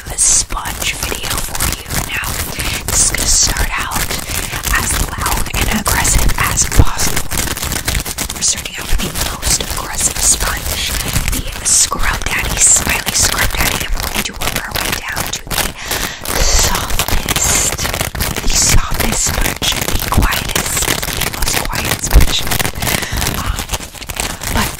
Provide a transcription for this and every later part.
bit of a sponge video for you now. This is gonna start out as loud and aggressive as possible. We're starting out with the most aggressive sponge, the Scrub Daddy Smiley Scrub Daddy, and we're going to work our way down to the softest, the softest sponge, the quietest, the most quiet sponge. Um, but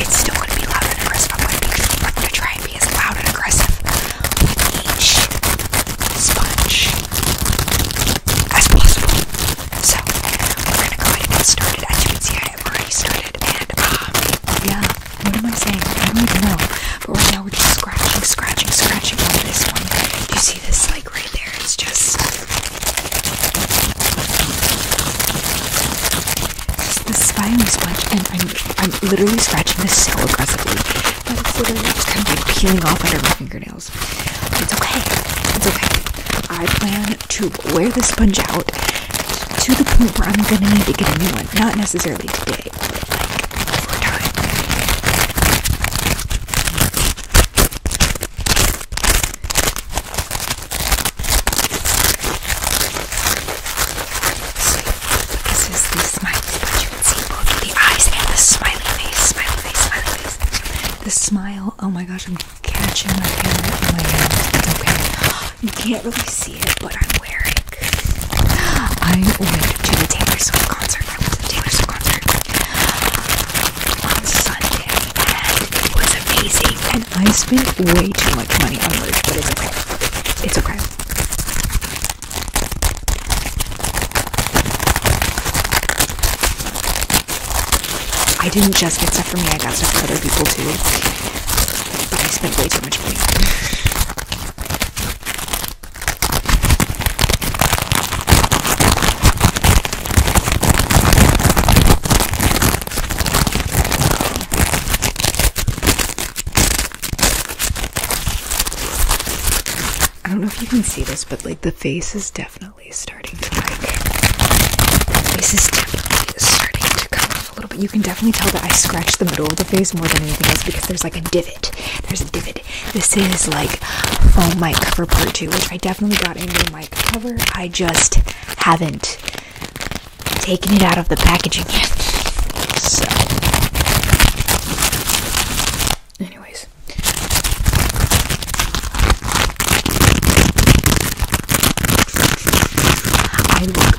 it's still going to be loud and aggressive. I'm going to going to try and be as loud and aggressive with each sponge as possible. So we're going to go ahead and get started. As you can see, I have already started, and um, yeah, what am I saying? I don't even know. But right now we're just scratching, scratching, scratching on this one. You see this like right there? It's just the spiny sponge, and I'm, I'm literally scratching this so aggressively that it's literally just kind of like peeling off under my fingernails. It's okay. It's okay. I plan to wear this sponge out to the point where I'm gonna need to get a new one. Not necessarily today, but like time this is the smile, you can see both the eyes and the smiley face, smiley face, smiley face. The smile, oh my gosh, I'm catching my hand in my hand. Okay. You can't really see it, but I'm wearing. I went to the Taylor Swift concert. I went to the Taylor Swift concert on and it was amazing. And I spent way too much money on merch, but it's okay. It's okay. I didn't just get stuff for me, I got stuff for other people too. But I spent way too much money. I don't know if you can see this, but like the face is definitely starting to like. The face is definitely starting to come off a little bit. You can definitely tell that I scratched the middle of the face more than anything else because there's like a divot. There's a divot. This is like full mic cover part two, which I definitely got a new mic cover. I just haven't taking it out of the packaging yet. So, anyways, I look,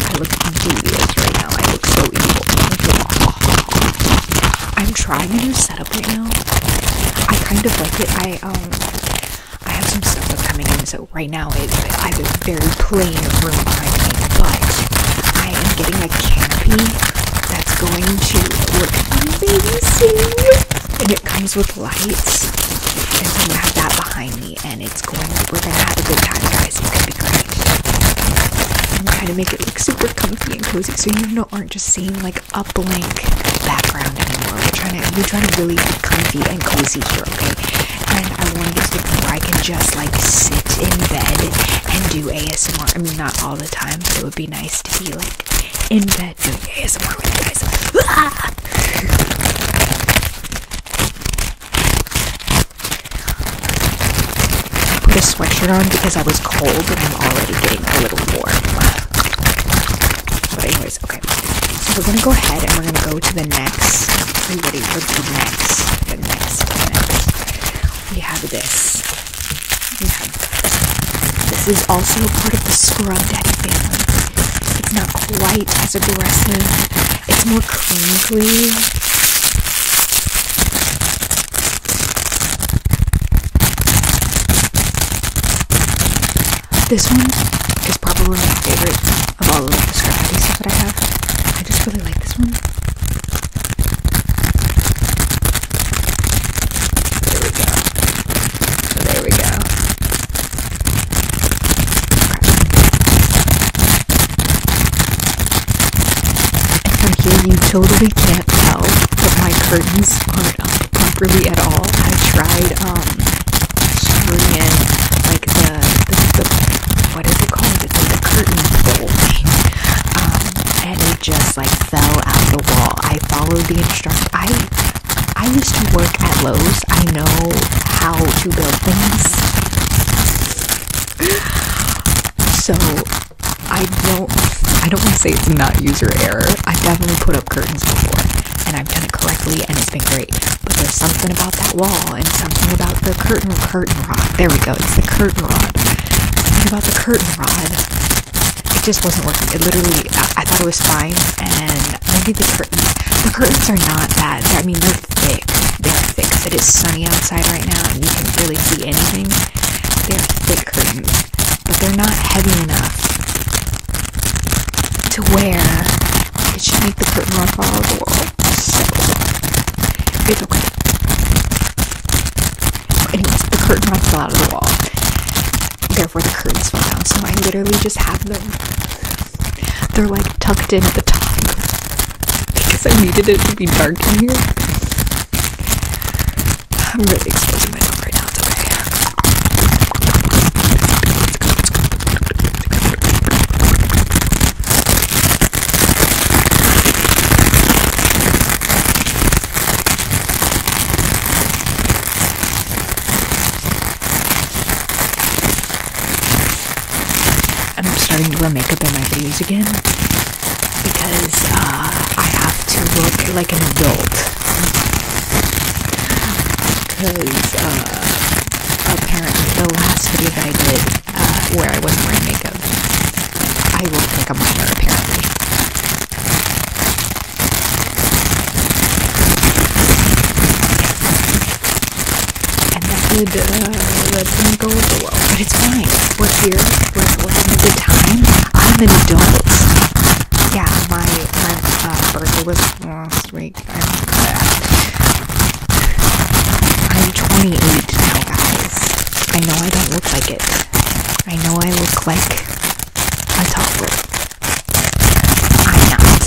I look devious right now. I look so evil. I'm trying a new setup right now. I kind of like it. I um. I have some stuff coming in, so right now it's I a very plain room behind me, but I am getting a canopy that's going to look amazing. And it comes with lights, and so I'm gonna have that behind me, and it's going. We're gonna have a good time, guys. It's be great. I'm trying to make it look super comfy and cozy, so you know aren't just seeing like a blank background anymore. We're trying to we're trying to really be comfy and cozy here, okay? And I want to get to the point where I can just like sit in bed and do ASMR. I mean, not all the time, but it would be nice to be like in bed doing ASMR with you guys. Ah! put a sweatshirt on because I was cold and I'm already getting a little warm okay. So we're gonna go ahead and we're gonna go to the next. ready next? The next, We have this. this. is also a part of the Scrub Daddy family. It's not quite as aggressive. It's more crinkly. This one is probably my favorite of all of the Scrappy stuff that I have. I just really like this one. There we go. There we go. Okay. It's like you totally can't tell that my curtains aren't properly at all. I tried, um, screw in like the, the, what is it called? It's like a curtain bulge. Um, and it just like fell out the wall. I followed the instructions. I I used to work at Lowe's. I know how to build things. So I don't I don't want to say it's not user error. I've definitely put up curtains before and I've done it correctly and it's been great but there's something about that wall and something about the curtain rod. There we go. It's the curtain rod. Something about the curtain rod. It just wasn't working. It literally, I, thought it was fine, and maybe the curtains. The curtains are not that. I mean, they're thick. They're thick. It is sunny outside right now, and you can really see anything. They're thick curtains, but they're not heavy enough to where it should make the curtain run all over the wall. So it's okay. Anyways, the curtain runs out of the wall. Therefore, the curtains fall down. So I literally just have them. They're like tucked in at the top because I needed it to be dark in here. I'm really exposing myself right now. It's I'm starting to wear makeup in my videos again because uh, I have to look like an adult. Because uh, apparently the last video that I did uh, where I wasn't wearing makeup, I will pick up minor apparently. And that did, uh, that didn't go over well, but it's fine. We're here, we're, we're having a good time. I'm an adult. Yeah, my, my uh, birthday was last week i I'm 28 now, guys. I know I don't look like it. I know I look like a toddler. I'm not.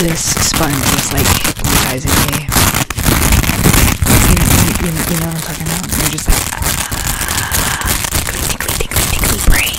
This sponge is like hypnotizing me. You know, what I'm talking about? You're just like,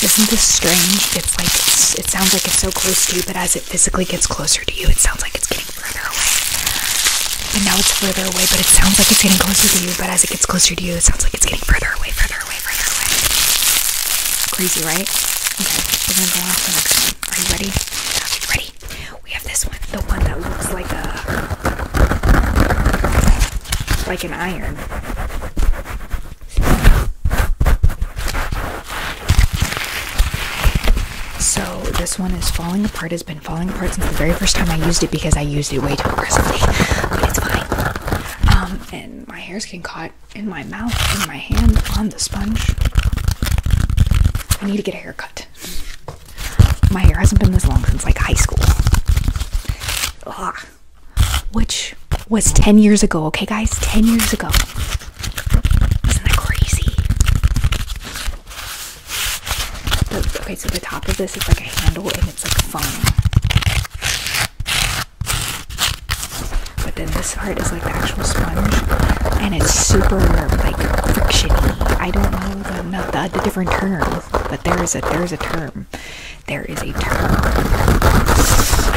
Isn't this strange? It's like it sounds like it's so close to you, but as it physically gets closer to you, it sounds like it's getting further away. But now it's further away, but it sounds like it's getting closer to you, but as it gets closer to you, it sounds like it's getting further away. from. Crazy, right? Okay, we're gonna go on to the next one. Are you ready? Are you ready? We have this one, the one that looks like a like an iron. So this one is falling apart. Has been falling apart since the very first time I used it because I used it way too aggressively. But it's fine. Um, and my hair's getting caught in my mouth, in my hand, on the sponge. I need to get a haircut. My hair hasn't been this long since like high school. Ugh. Which was 10 years ago, okay, guys? 10 years ago. Isn't that crazy? okay, so the top of this is like a handle, it's like foam. But then this part is like the actual sponge, and it's super like frictiony. I don't know the, the, different terms, but there is a there is a term. There is a term. Ah!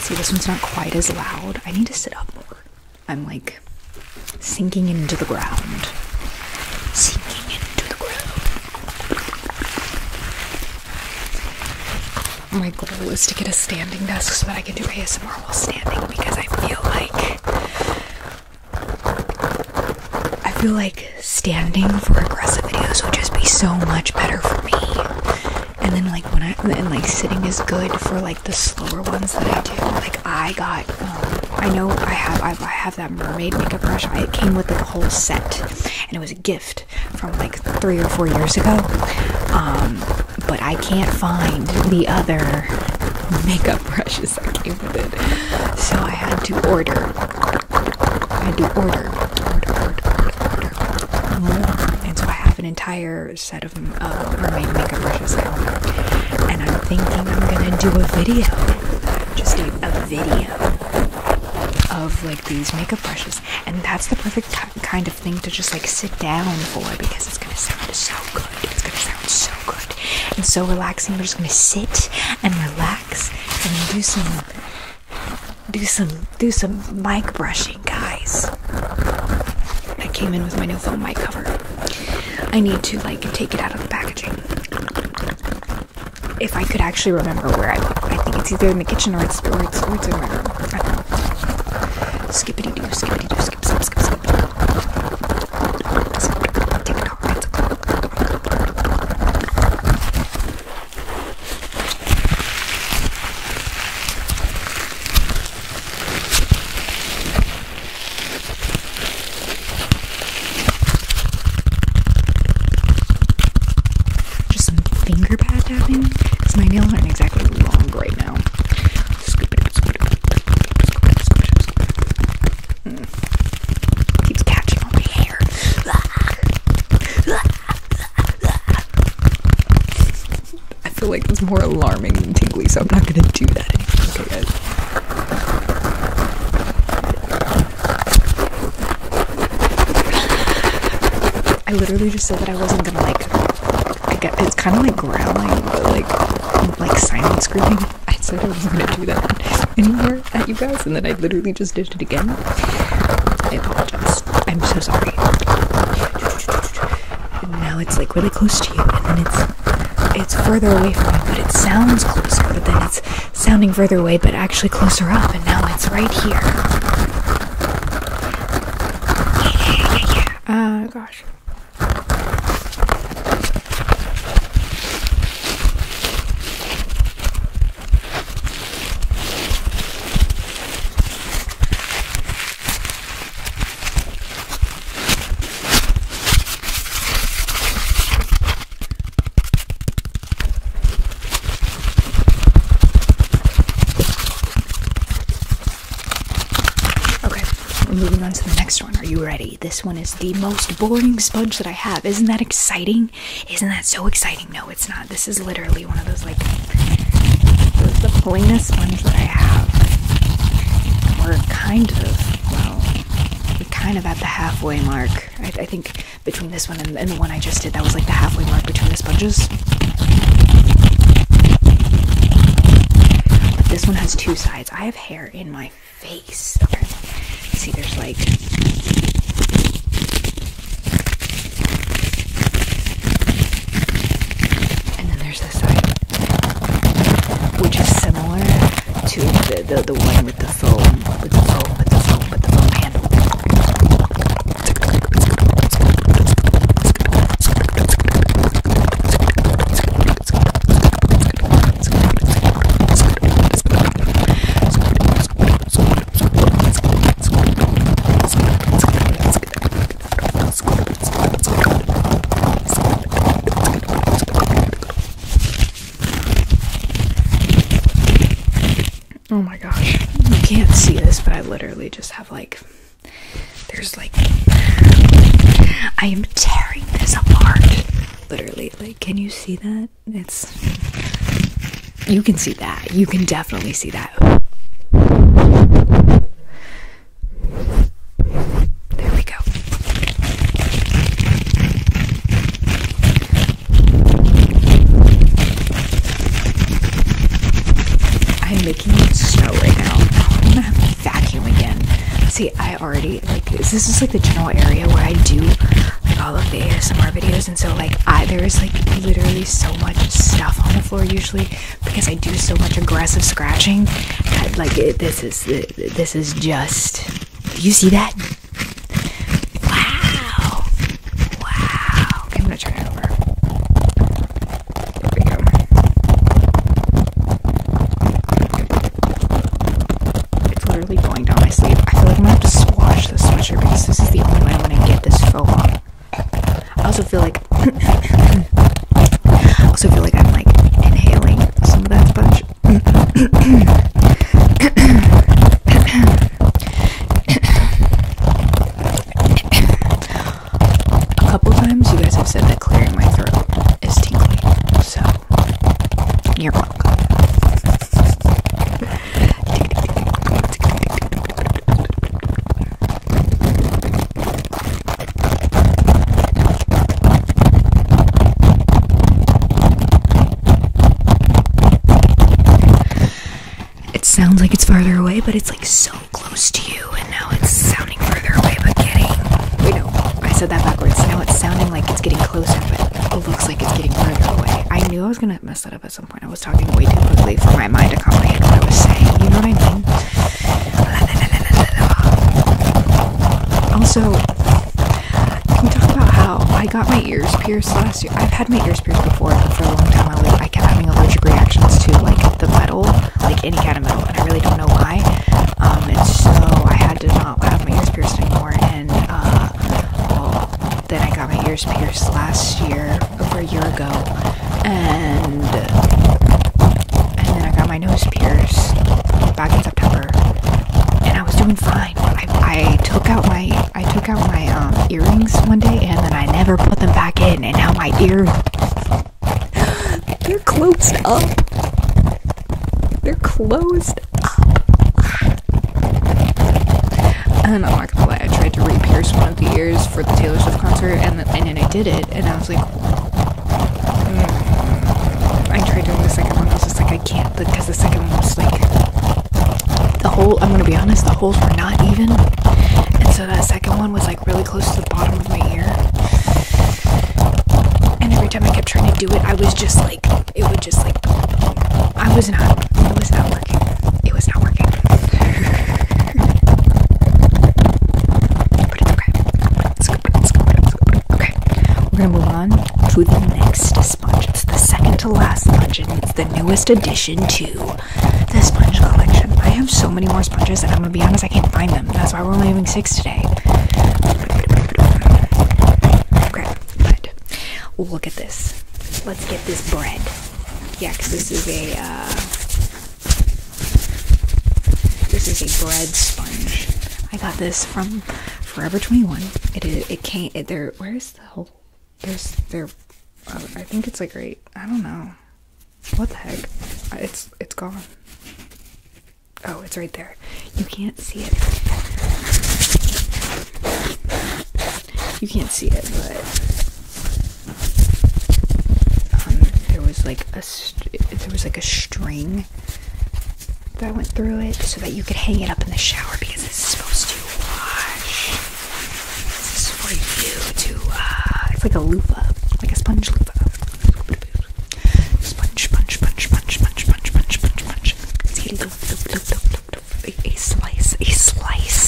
See, This one's not quite as loud. I need to it up more. I'm like sinking into the ground. Sinking into the ground. My goal is to get a standing desk so that I can do ASMR while standing because I feel like I feel like standing for aggressive videos would just be so much better for me and then like when I and like sitting is good for like the slower ones that I do. Like I got, um, I know I have I, I have that mermaid makeup brush. I, it came with like a whole set, and it was a gift from like three or four years ago. Um, but I can't find the other makeup brushes that came with it, so I had to order. I had to order, order, order, order, order more, and so I have an entire entire set of uh, mermaid makeup brushes there. And I'm thinking I'm gonna do a video, just a, a video of like these makeup brushes. And that's the perfect kind of thing to just like sit down for because it's gonna sound so good. It's gonna sound so good and so relaxing. We're just gonna sit and relax and do some do some do some mic brushing guys. I came in with my new phone mic cover. I need to like take it out of the packaging. If I could actually remember where I put it, I think it's either in the kitchen or it's or it's, or it's in my room. I don't know. Skippity doo, skippity doo, skip, skip, skip, skip. Take it off. Just some finger pad tapping because my nails aren't exactly long right now. Scoop it, scoop it, scoop it, scoop it, scoop it. Mm. Keeps catching on my hair. I feel like it's more alarming than tingly, so I'm not gonna do that anymore. Okay, guys. I literally just said that I wasn't gonna like. I get it's kind of like growling, but like like silent screaming. I said I wasn't gonna do that anymore at you guys, and then I literally just did it again. I apologize. I'm so sorry now it's like really close to you and then it's it's further away from you but it sounds closer but then it's sounding further away but actually closer up and now it's right here oh uh, gosh Okay, we're moving on to the next one. Are you ready? This one is the most boring sponge that I have. Isn't that exciting? Isn't that so exciting? No, it's not. This is literally one of those like those the plainest ones that I have. We're kind of, well, we're kind of at the halfway mark. I, think between this one and, the one I just did, that was like the halfway mark between the sponges. this one has two sides. I have hair in my face. Okay. See, there's like there's this side, which is similar to the the, the one with the foam, with the foam, with the foam, with the foam handle. Oh my gosh. You can't see this, but I literally just have like. There's like. I am tearing this apart. Literally. Like, can you see that? It's. You can see that. You can definitely see that. There we go. I'm making it snow right now. I'm gonna have to vacuum again. See, I already like this is like the general area where I do like all of the ASMR videos, and so like I there is like literally so much stuff on the floor usually because I do so much aggressive scratching. like this is this is just. Do you see that? Wow! Wow! I'm gonna turn it over. There we go. It's literally going down my sleeve. I feel like I'm gonna have to squash this sweatshirt because this is the only way I'm gonna get this faux on. I also feel like I also feel like I'm like inhaling some of that bunch. A couple times you guys have said that clearing my throat is tingly, so you're welcome. It sounds like it's farther away, but it's like so close to you, and now it's sounding further away, but getting. Wait, no, I said that backwards. Now it's sounding like it's getting closer, but it looks like it's getting further away. I knew I was gonna mess that up at some point. I was talking way too quickly for my mind to comprehend what I was saying. You know what I mean? Also, can we talk about how I got my ears pierced last year? I've had my ears pierced before, but for a long time I, was, I kept having allergic reactions to like the metal, like any kind of metal, and I really don't know why. Um, and so I had to not have my ears pierced anymore, and uh, then I got my ears pierced last year, over a year ago and uh, and then I got my nose pierced back in September, and I was doing fine. I, I took out my I took out my um, earrings one day, and then I never put them back in, and now my ears they're closed up. They're closed up. And I'm not gonna lie, I tried to re-pierce one of the ears for the Taylor Swift concert, and, and then I did it, and I was like, I tried doing the second one. I was just like, I can't because the second one was like the whole. I'm gonna be honest, the holes were not even, and so that second one was like really close to the bottom of my ear. And every time I kept trying to do it, I was just like, it would just like, I was not, it was not working. It was not working. okay. It's good, it's good, it's good. Okay, we're gonna move on to the next sponge. It's the second to last sponge, and it's the newest addition to the sponge collection. I have so many more sponges, and I'm gonna be honest, I can't find them. That's why we're only having six today. Okay, but look at this. Let's get this bread. Yeah, because this is a uh, this is a bread sponge. I got this from Forever 21. It is. It came. It, there. Where is the whole? There's there. Uh, I think it's like right. I don't know. What the heck? Uh, it's it's gone. Oh, it's right there. You can't see it. You can't see it, but um, there was like there was like a string that went through it so that you could hang it up in the shower because it's supposed to wash. This is for you to uh it's like a loofah, like a sponge loofah. Sponge, sponge, sponge, sponge, sponge, sponge, sponge, sponge, sponge. See loop, loop, loop, loop, loop, a slice, a slice.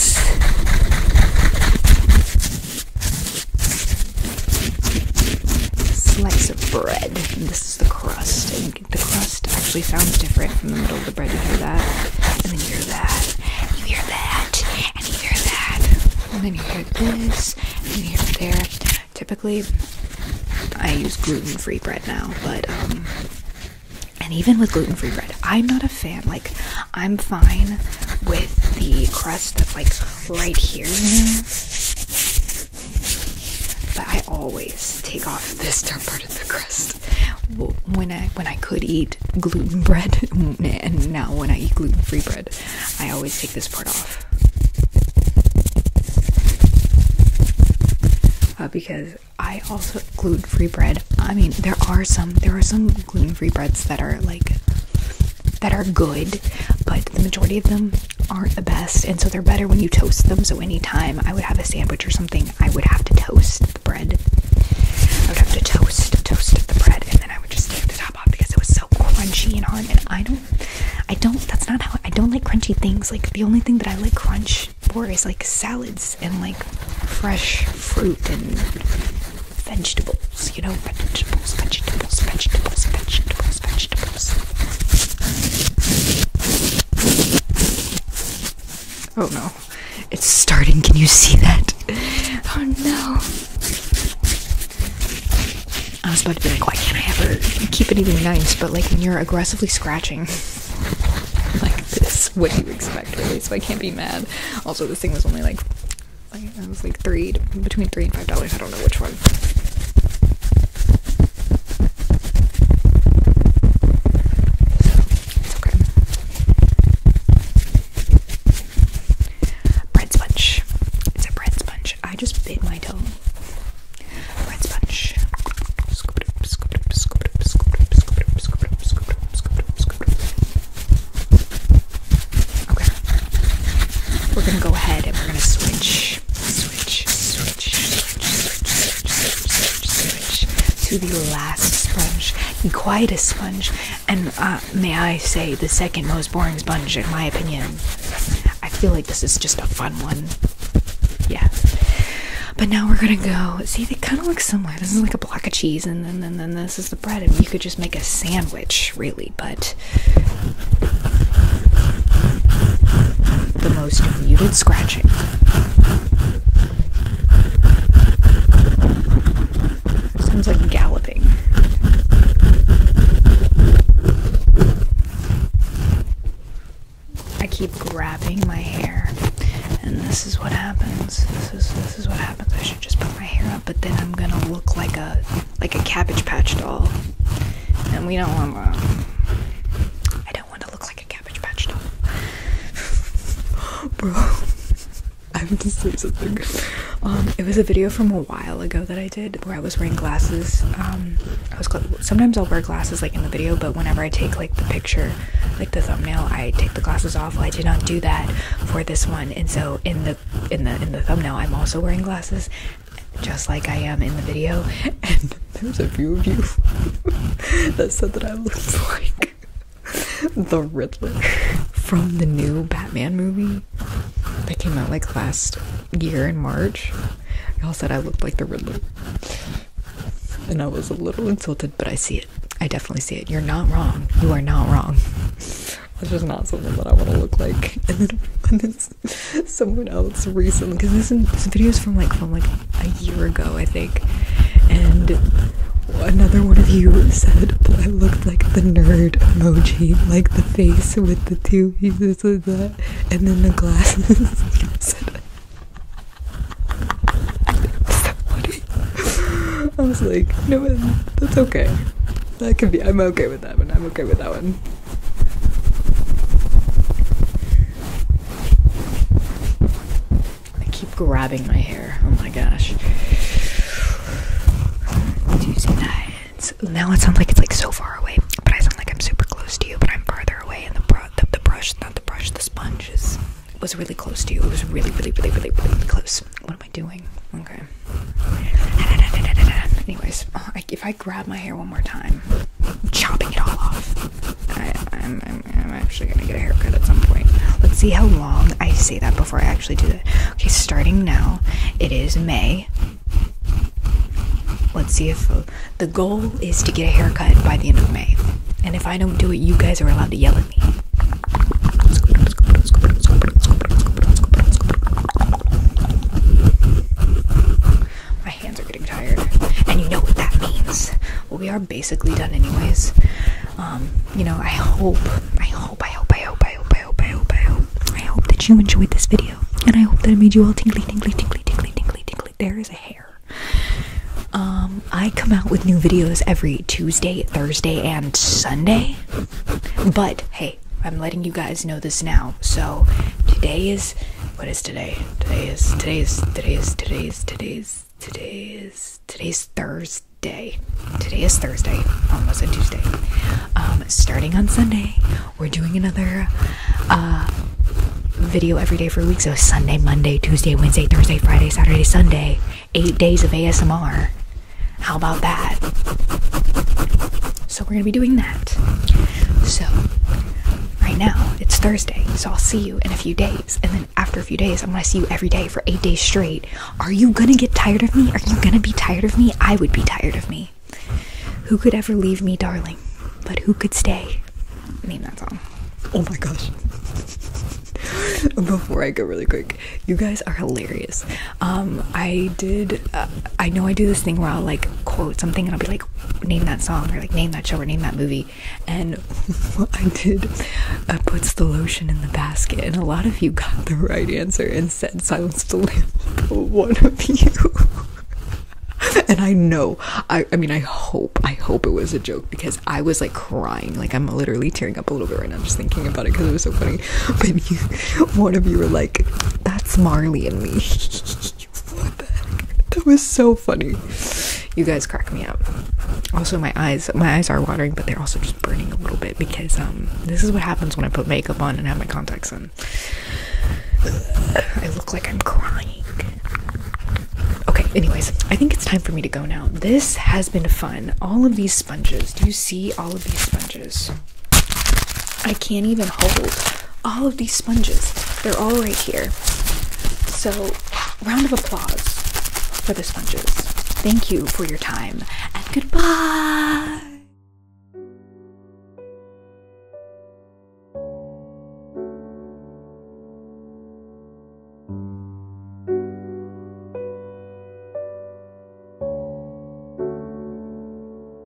Slice of bread. this is the crust. and the crust actually sounds different from the middle of the bread. You hear that, and then you hear that, you hear that, and you hear that, and then you hear this, and then you hear there. Typically, I use gluten-free bread now, but um, and even with gluten-free bread, I'm not a fan. Like, I'm fine with the crust that's like right here, But I always take off this dark part of the crust when I when I could eat gluten bread, and now when I eat gluten-free bread, I always take this part off. Uh, because I also gluten-free bread. I mean, there are some there are some gluten-free breads that are like that are good, but the majority of them aren't the best, and so they're better when you toast them. So anytime I would have a sandwich or something, I would have to toast the bread. I would have to toast, toast the bread, and then I would just take the top off because it was so crunchy and hard. And I don't, I don't. That's not how I don't like crunchy things. Like the only thing that I like crunch for is like salads and like fresh fruit and vegetables vegetables, you know, vegetables, vegetables, vegetables, vegetables, vegetables. Oh no. It's starting. Can you see that? Oh no. I was about to be like, why can't I ever keep anything nice? But like when you're aggressively scratching like this, what do you expect really? So I can't be mad. Also this thing was only like I was like three between three and five dollars. I don't know which one. it's okay. Bread sponge. It's a bread sponge. I just bit my toe. Bread sponge. Okay. We're gonna go ahead and we're gonna switch, switch, switch, switch, switch, switch, switch, switch to the last sponge, the quietest sponge, and uh, may I say the second most boring sponge in my opinion. I feel like this is just a fun one. Yeah. But now we're gonna go. See, they kind of look similar. This is like a block of cheese, and then, then, then this is the bread, and you could just make a sandwich really, but the most muted scratching. Sounds like galloping. I keep grabbing my hair, and this is what happens. This is this is what happens. I should just put my hair up, but then I'm gonna look like a like a Cabbage Patch doll, and we don't want. Um, I don't want to look like a Cabbage Patch doll, bro. I am just saying something. Um, it was a video from a while ago that I did where I was wearing glasses. Um, I was sometimes I'll wear glasses like in the video, but whenever I take like the picture, like the thumbnail, I take the glasses off. I did not do that for this one, and so in the in the in the thumbnail, I'm also wearing glasses, just like I am in the video. And there's a few of you that said that I looked like the Riddler from the new Batman movie that came out like last year in March. Y'all said I looked like the Riddler. And I was a little insulted, but I see it. I definitely see it. You're not wrong. You are not wrong. That's just not something that I want to look like. someone else recently because this, video is from like from like a year ago i think and another one of you said i looked like the nerd emoji like the face with the two pieces of that and then the glasses i was like no that's okay that could be i'm okay with that one i'm okay with that one I keep grabbing my hair. Oh my gosh. Tuesday nights. Now it sounds like it's like so far away, but I sound like I'm super close to you, but I'm farther away. And the, br the, the brush, not the brush, the sponge is, was really close to you. It was really, really, really, really, really close. What am I doing? Oh, Okay. Anyways, if I grab my hair one more time, I'm chopping it all off. I, am actually gonna get a haircut at some point. Let's see how long I say that before I actually do that. Okay, starting now, it is May. Let's see if uh, the goal is to get a haircut by the end of May. And if I don't do it, you guys are allowed to yell at me. My hands are getting tired, and you know what that means. Well, we are basically done, anyways. Um, you know, I hope, I hope, I hope, I hope, I hope, I hope, I hope, I hope, I hope that you enjoyed this video, and I hope that it made you all tingly, tingly, tingly, tingly, tingly, tingly. There is a hair. Um, I come out with new videos every Tuesday, Thursday, and Sunday, but hey. I'm letting you guys know this now. So today is what is today? Today is today's today's today's today's today's today's today Thursday. Today is Thursday. Almost a Tuesday. Um, starting on Sunday, we're doing another uh, video every day for a week. So Sunday, Monday, Tuesday, Wednesday, Thursday, Friday, Saturday, Sunday. Eight days of ASMR. How about that? So we're gonna be doing that. So right now it's Thursday, so I'll see you in a few days, and then after a few days, I'm gonna see you every day for eight days straight. Are you gonna get tired of me? Are you gonna be tired of me? I would be tired of me. Who could ever leave me, darling? But who could stay? I mean, that's Oh my gosh. Before I go really quick, you guys are hilarious. Um, I did uh, I know I do this thing where I'll like quote something and I'll be like, name that song or like name that show or name that movie. And I did I puts the lotion in the basket, and a lot of you got the right answer and said Silence the Lamb. One of you. and I know, I, I mean, I hope, I hope it was a joke because I was like crying, like I'm literally tearing up a little bit right now just thinking about it because it was so funny. But you, one of you were like, "That's Marley and me." that was so funny. You guys crack me up. Also, my eyes, my eyes are watering, but they're also just burning a little bit because um, this is what happens when I put makeup on and have my contacts in. I look like I'm crying. Okay, anyways, I think it's time for me to go now. This has been fun. All of these sponges. Do you see all of these sponges? I can't even hold all of these sponges. They're all right here. So, round of applause for the sponges. Thank you for your time and goodbye.